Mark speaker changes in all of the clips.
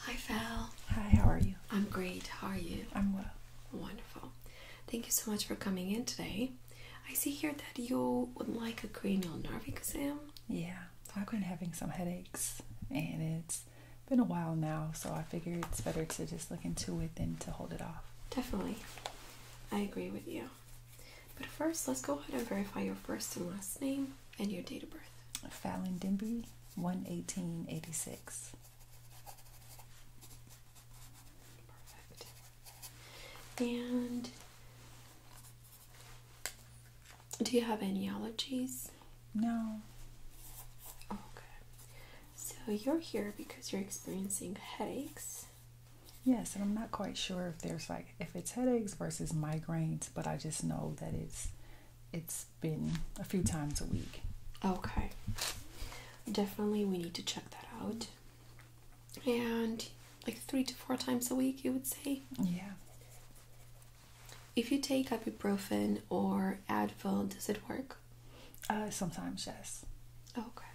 Speaker 1: Hi, Val. Hi, how are you? I'm great. How are you? I'm well. Wonderful. Thank you so much for coming in today. I see here that you would like a cranial nerve exam.
Speaker 2: Yeah, I've been having some headaches and it's been a while now, so I figured it's better to just look into it than
Speaker 1: to hold it off. Definitely. I agree with you. But first, let's go ahead and verify your first and last name and your date of birth. Fallon Denby,
Speaker 2: 11886.
Speaker 1: Perfect. And do you have any allergies? No. Okay. So you're here because you're experiencing headaches
Speaker 2: Yes, and I'm not quite sure if there's like if it's headaches versus migraines, but I just know that it's it's been a few times a week.
Speaker 1: Okay. Definitely we need to check that out. And like 3 to 4 times a week, you would say? Yeah. If you take ibuprofen or Advil, does it work? Uh, sometimes, yes. Okay.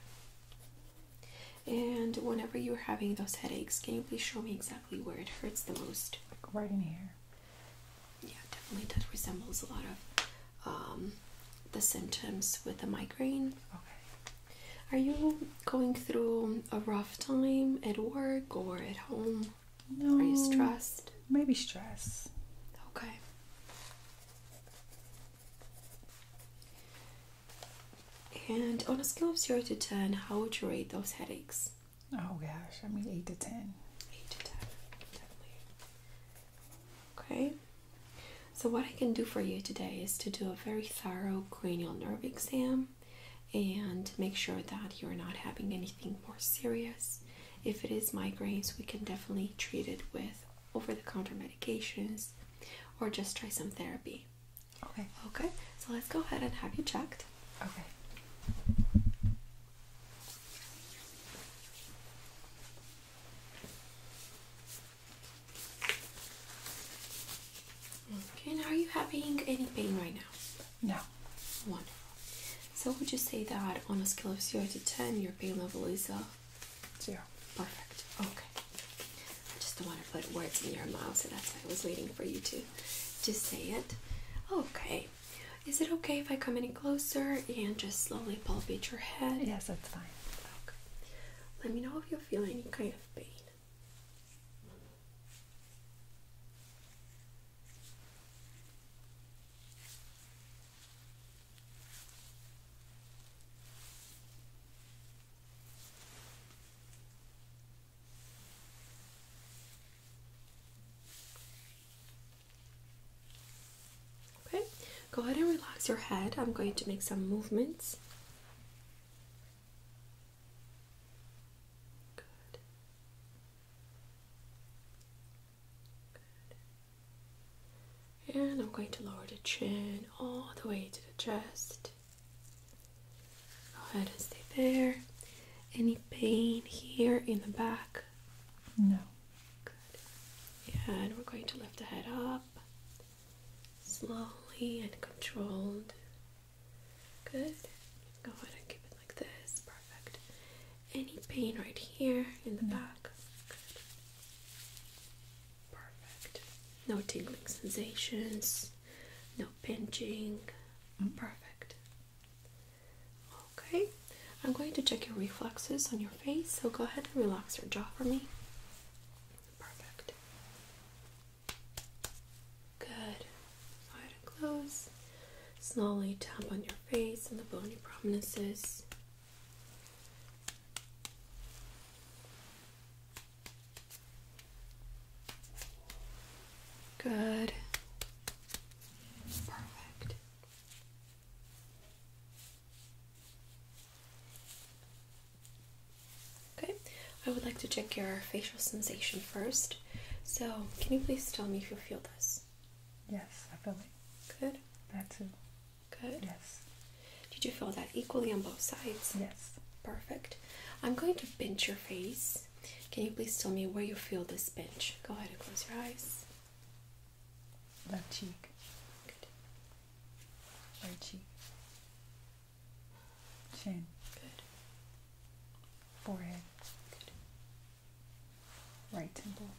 Speaker 1: And whenever you're having those headaches, can you please show me exactly where it hurts the most? right in here. Yeah, definitely. That resembles a lot of um, the symptoms with a migraine. Okay. Are you going through a rough time at work or at home? No. Are you stressed? Maybe stress. Okay. And on a scale of 0 to 10, how would you rate those headaches? Oh gosh, I mean 8 to 10. 8 to 10, definitely. Okay. So, what I can do for you today is to do a very thorough cranial nerve exam and make sure that you're not having anything more serious. If it is migraines, we can definitely treat it with over the counter medications or just try some therapy. Okay. Okay, so let's go ahead and have you checked. Okay. Okay, now are you having any pain right now? No. Wonderful. So would you say that on a scale of zero to ten your pain level is a uh, Zero. Perfect. Okay. I just don't want to put words in your mouth, so that's why I was waiting for you to to say it. Okay. Is it okay if I come any closer and just slowly palpate your head? Yes, that's fine. Okay. Let me know if you feel any kind of pain. Okay, go ahead and relax your head. I'm going to make some movements. And I'm going to lower the chin all the way to the chest. Go ahead and stay there. Any pain here in the back?
Speaker 2: No. Good.
Speaker 1: And we're going to lift the head up slowly and controlled. Good. Go ahead and keep it like this. Perfect. Any pain right here in the back? Good. Perfect. No tingling sensations, no pinching. Mm. Perfect. Okay, I'm going to check your reflexes on your face, so go ahead and relax your jaw for me. Perfect. Good. Go ahead and close. Slowly tap on your face and the bony prominences. Good. Perfect. Okay, I would like to check your facial sensation first. So, can you please tell me if you feel this?
Speaker 2: Yes, I feel it. Good. That too.
Speaker 1: Good. Yes. Did you feel that equally on both sides? Yes. Perfect. I'm going to pinch your face. Can you please tell me where you feel this pinch? Go ahead and close your eyes. Left cheek. Good. Right cheek.
Speaker 2: Chin. Good. Forehead. Good. Right temple.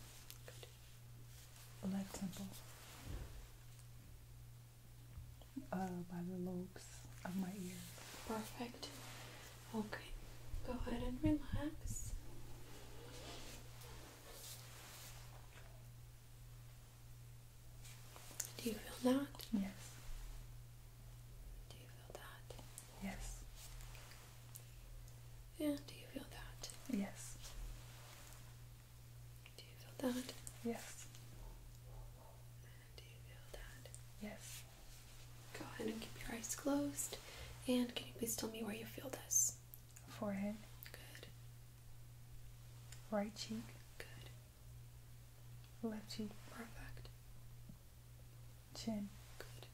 Speaker 2: Good. Left temple. Uh, by the lobes
Speaker 1: of my ears. Perfect. Okay, go ahead and relax. Do you feel that? Yes. Do you feel that? Yes. Yeah, do you feel that?
Speaker 2: Yes. Do you feel that? Yes.
Speaker 1: do you feel that? Yes. Go ahead and keep your eyes closed. And can you please tell me where you feel this?
Speaker 2: Forehead. Good. Right cheek. Good. Left cheek. Perfect. Chin. Good.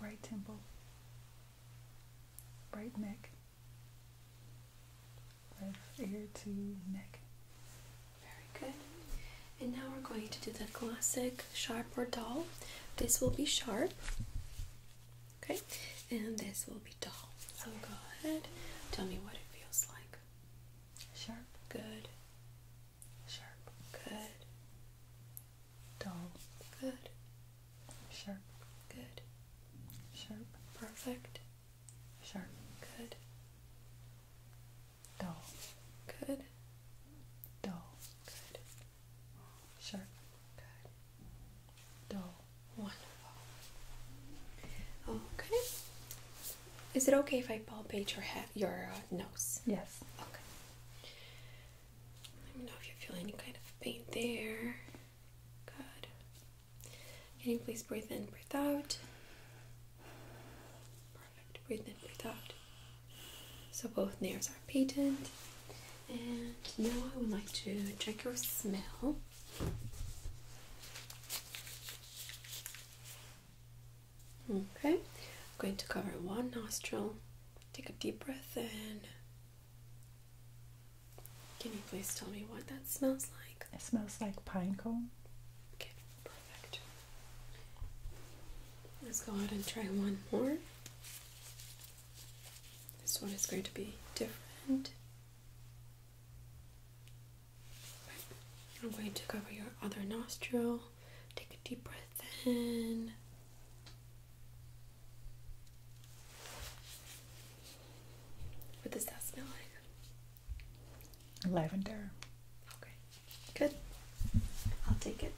Speaker 2: Right temple. Right neck
Speaker 1: ear to neck. Very good. And now we're going to do the classic sharp or dull. This will be sharp. Okay, and this will be dull. So go ahead, tell me what it feels like. Sharp. Good. Sharp. Good.
Speaker 2: Dull. Good. Sharp. Good. Sharp. Perfect. Sharp. Good. Dull. Good. Dull. Good.
Speaker 1: Sharp. Good. Dull. Wonderful. Okay. Is it okay if I palpate your head, your uh, nose? Yes. Okay. Let me know if you feel any kind of pain there. Good. Can you please breathe in, breathe out? Perfect. Breathe in, breathe out. So both nails are patent. And now I would like to check your smell. Okay, I'm going to cover one nostril. Take a deep breath in can you please tell me what that smells like? It smells like pine cone. Okay, perfect. Let's go ahead and try one more. This one is going to be different. I'm going to cover your other nostril. Take a deep breath in. What does that smell
Speaker 2: like? Lavender. Okay, good.
Speaker 1: I'll take it.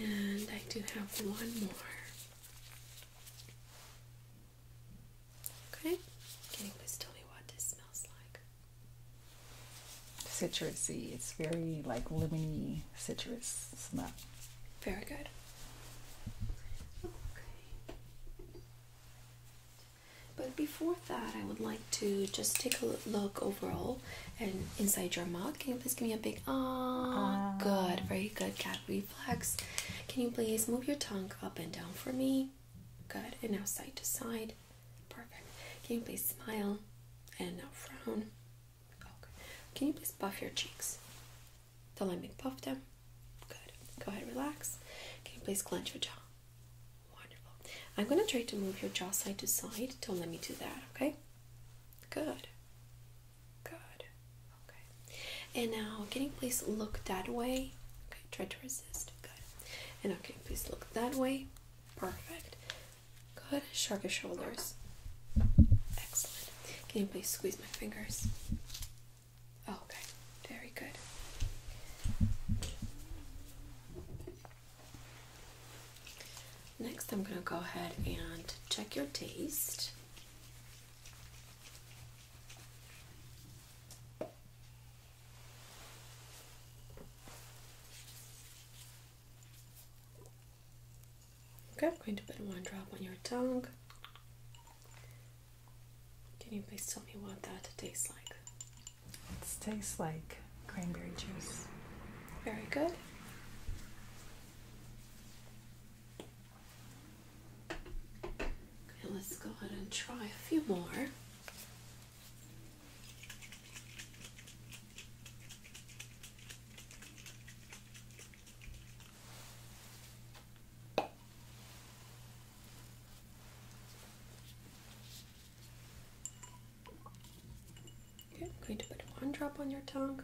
Speaker 1: And I do have one more. Okay, can you please tell me what this smells
Speaker 2: like? Citrusy. It's very like lemony
Speaker 1: citrus smell. Very good. But before that, I would like to just take a look overall and inside your mouth. Can you please give me a big ah, ah? Good, very good cat reflex. Can you please move your tongue up and down for me? Good, and now side to side. Perfect. Can you please smile and now frown? Okay. Can you please puff your cheeks? The line being puffed down. Good. Go ahead, relax. Can you please clench your jaw. Wonderful. I'm gonna try to move your jaw side to side. Don't let me do that, okay? Good. Good. Okay. And now can you please look that way? Okay, try to resist. Good. And okay, please look that way? Perfect. Good. Shrug your shoulders. Excellent. Can you please squeeze my fingers? Oh, okay, very good. Next, I'm going to go ahead and check your taste. Okay, I'm going to put one drop on your tongue. Can you please tell me what that tastes like?
Speaker 2: It tastes like cranberry juice.
Speaker 1: Very good. Okay, let's go ahead and try a few more. I'm going to put one drop on your tongue.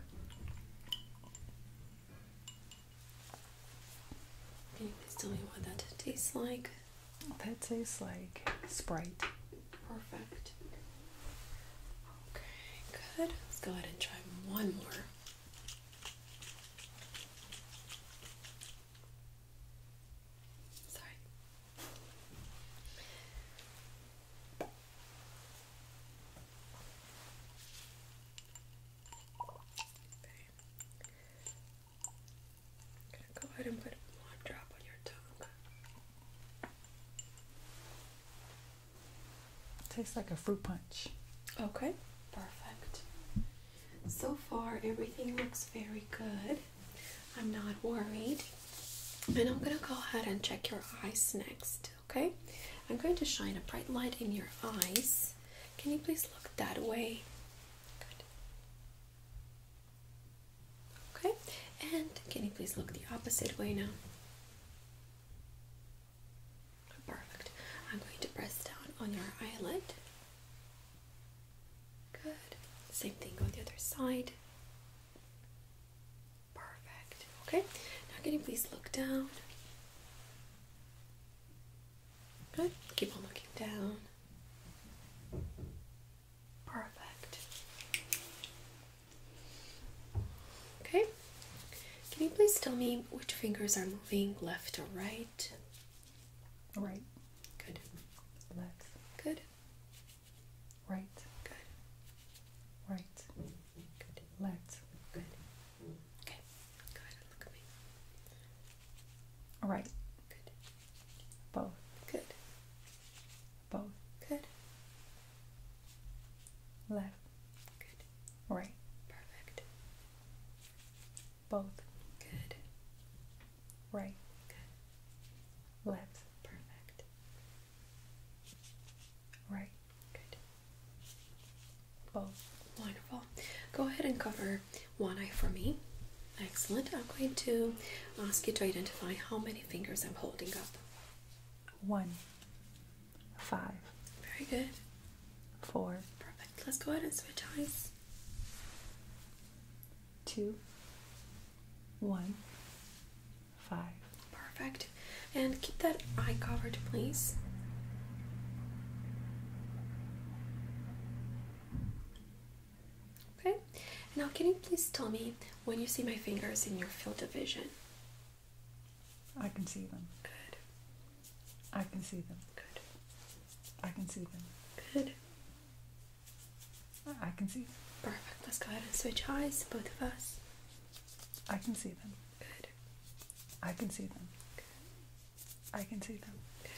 Speaker 1: Can please tell me what that tastes like? That tastes like Sprite. Perfect. Okay, good. Let's go ahead and try one more. Sorry. Okay. go ahead and put one drop on your tongue.
Speaker 2: Tastes like a fruit punch.
Speaker 1: Okay, perfect. So far, everything looks very good. I'm not worried. And I'm going to go ahead and check your eyes next, okay? I'm going to shine a bright light in your eyes. Can you please look that way? Good. Okay, and can you please look the opposite way now? Perfect. I'm going to press down on your eyelid. Good. Same thing on the other side. Perfect. Okay. Now can you please look down? Good. Keep on looking down. Perfect. Okay. Can you please tell me which fingers are moving left or right? Right. Good. Left. Good. Right. Good.
Speaker 2: Right. Good. Left. Good. Okay. Go look at me. Right. Good. Both. Good. Both. Good left, good, right, perfect, both, good, right, good, left, perfect,
Speaker 1: right, good, both. Wonderful. Go ahead and cover one eye for me. Excellent. I'm going to ask you to identify how many fingers I'm holding up.
Speaker 2: One. Five. Very good. Four.
Speaker 1: Perfect. Let's go ahead and switch eyes. Two. One. Five. Perfect. And keep that eye covered, please. Okay. Now, can you please tell me when you see my fingers in your field of vision?
Speaker 2: I can see them. Good. I can see them. Good. I can see them. Good. I can see them.
Speaker 1: Perfect. Let's go ahead and switch eyes, both of us.
Speaker 2: I can see them. Good. I can see them. Good. I can see them. Good.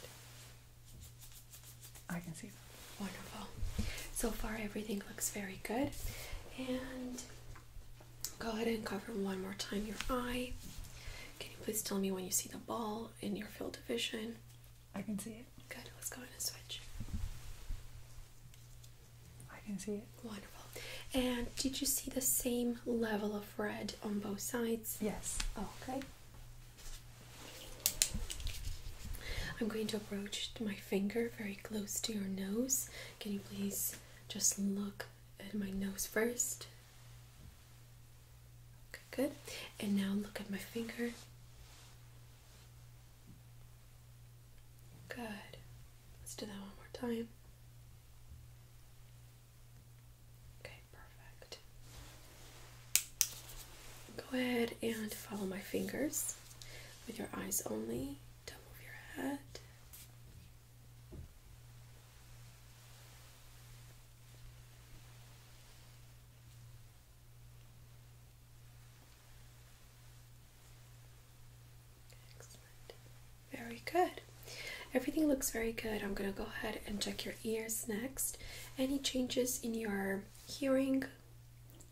Speaker 2: I can see them.
Speaker 1: Wonderful. So far, everything looks very good. And Go ahead and cover one more time your eye. Can you please tell me when you see the ball in your field of vision? I can see it. Good, let's go ahead and switch. I can see it. Wonderful. And did you see the same level of red on both sides? Yes. Okay. I'm going to approach my finger very close to your nose. Can you please just look at my nose first good. And now look at my finger. Good. Let's do that one more time. Okay, perfect. Go ahead and follow my fingers with your eyes only. Don't move your head. Very good. Everything looks very good. I'm going to go ahead and check your ears next. Any changes in your hearing?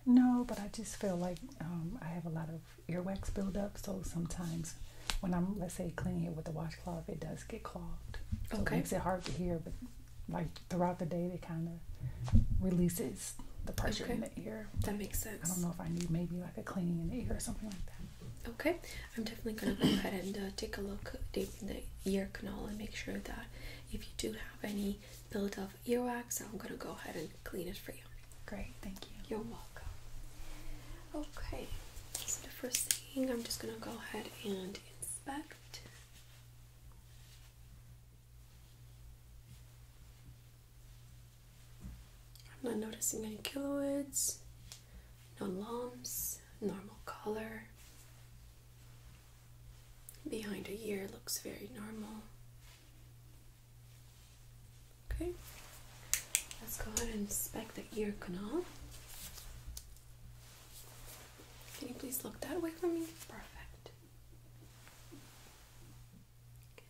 Speaker 2: No, but I just feel like um, I have a lot of earwax buildup. So sometimes when I'm, let's say, cleaning it with the washing washcloth, it does get clogged. okay. it makes it hard to hear, but like throughout the day, it kind of releases
Speaker 1: the pressure in the ear. That makes sense. I don't know
Speaker 2: if I need maybe like a cleaning in the ear or something like
Speaker 1: that. Okay, I'm definitely gonna go ahead and uh, take a look deep in the ear canal and make sure that if you do have any buildup earwax, I'm gonna go ahead and clean it for you. Great, thank you. You're welcome. Okay. So the first thing I'm just gonna go ahead and inspect. I'm not noticing any kiloids, no lumps, normal color. Behind a ear looks very normal. Okay, let's go ahead and inspect the ear canal. Can you please look that way for me? Perfect. Okay.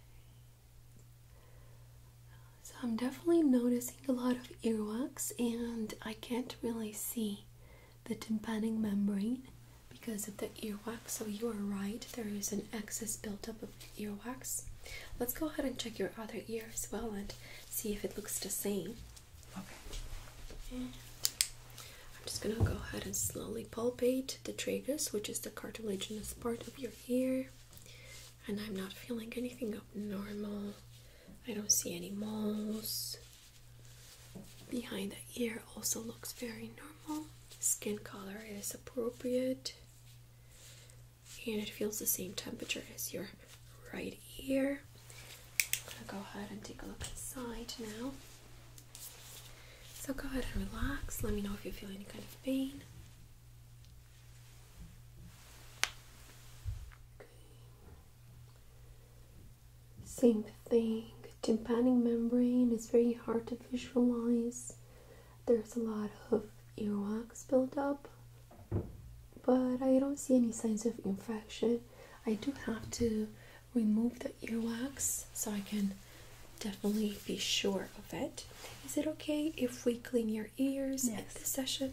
Speaker 1: So I'm definitely noticing a lot of earwax, and I can't really see the tympanic membrane because of the earwax. So you are right; there is an excess buildup of earwax. Let's go ahead and check your other ear as well and see if it looks the same. Okay. I'm just gonna go ahead and slowly palpate the tragus, which is the cartilaginous part of your ear. And I'm not feeling anything abnormal. I don't see any moles. Behind the ear also looks very normal. Skin color is appropriate and it feels the same temperature as your right ear. I'm gonna go ahead and take a look inside now. So go ahead and relax. Let me know if you feel any kind of pain. Same thing. Tympanic membrane is very hard to visualize. There's a lot of earwax built up but I don't see any signs of infection. I do have to remove the earwax so I can definitely be sure of it. Is it okay if we clean your ears at the session?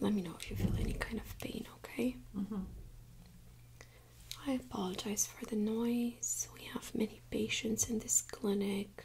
Speaker 1: Let me know if you feel any kind of pain, okay? Mm-hmm. I apologize for the noise. We have many patients in this clinic.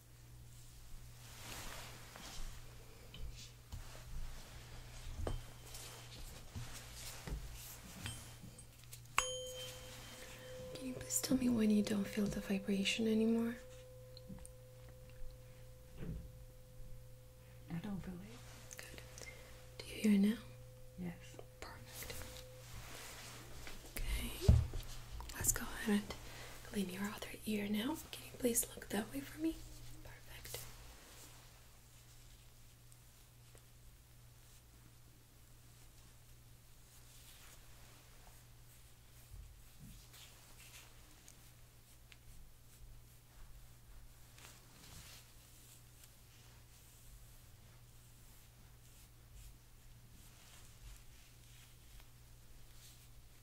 Speaker 1: Can you please tell me when you don't feel the vibration anymore? I don't feel it. Do you hear it now? Yes. Perfect. Okay. Let's go ahead and clean your other ear now. Can you please look that way for me? Perfect.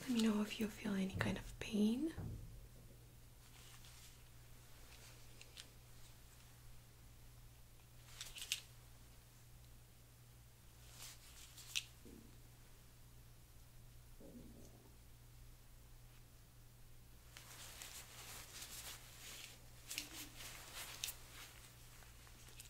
Speaker 1: Let me know if you feel any kind of pain.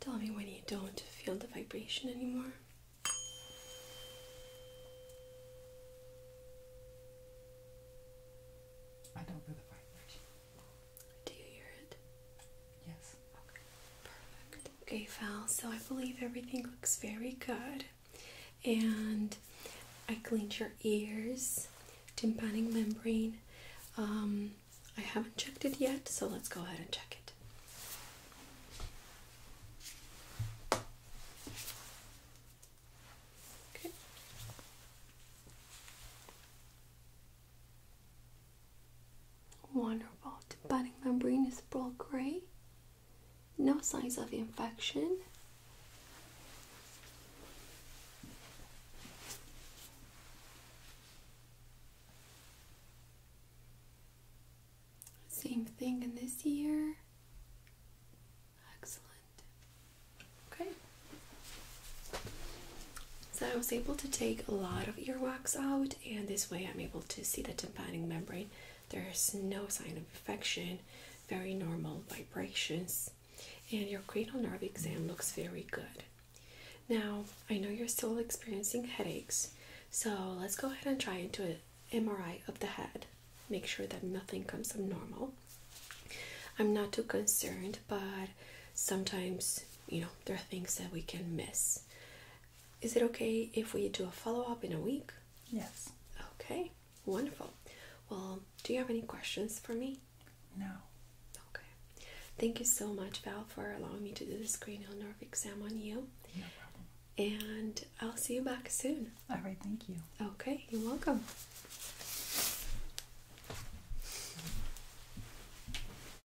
Speaker 1: Tell me when you don't feel the vibration anymore.
Speaker 2: I don't feel the vibration. Do you hear it?
Speaker 1: Yes. Okay. Perfect. Okay, Val, so I believe everything looks very good. And I cleaned your ears, tympanic membrane. Um, I haven't checked it yet, so let's go ahead and check it. Okay. Wonderful. The budding membrane is broad gray. No signs of infection. Same thing in this ear. Excellent. Okay. So I was able to take a lot of earwax out, and this way I'm able to see the tympanic membrane. There's no sign of infection, very normal vibrations, and your cranial nerve exam looks very good. Now, I know you're still experiencing headaches, so let's go ahead and try into an MRI of the head. Make sure that nothing comes abnormal. I'm not too concerned, but sometimes, you know, there are things that we can miss. Is it okay if we do a follow up in a week? Yes. Okay, wonderful. Well, do you have any questions for me? No. Okay. Thank you so much, Val, for allowing me to do this cranial nerve exam on you. No problem. And I'll see you back soon. All right,
Speaker 2: thank you. Okay,
Speaker 1: you're welcome.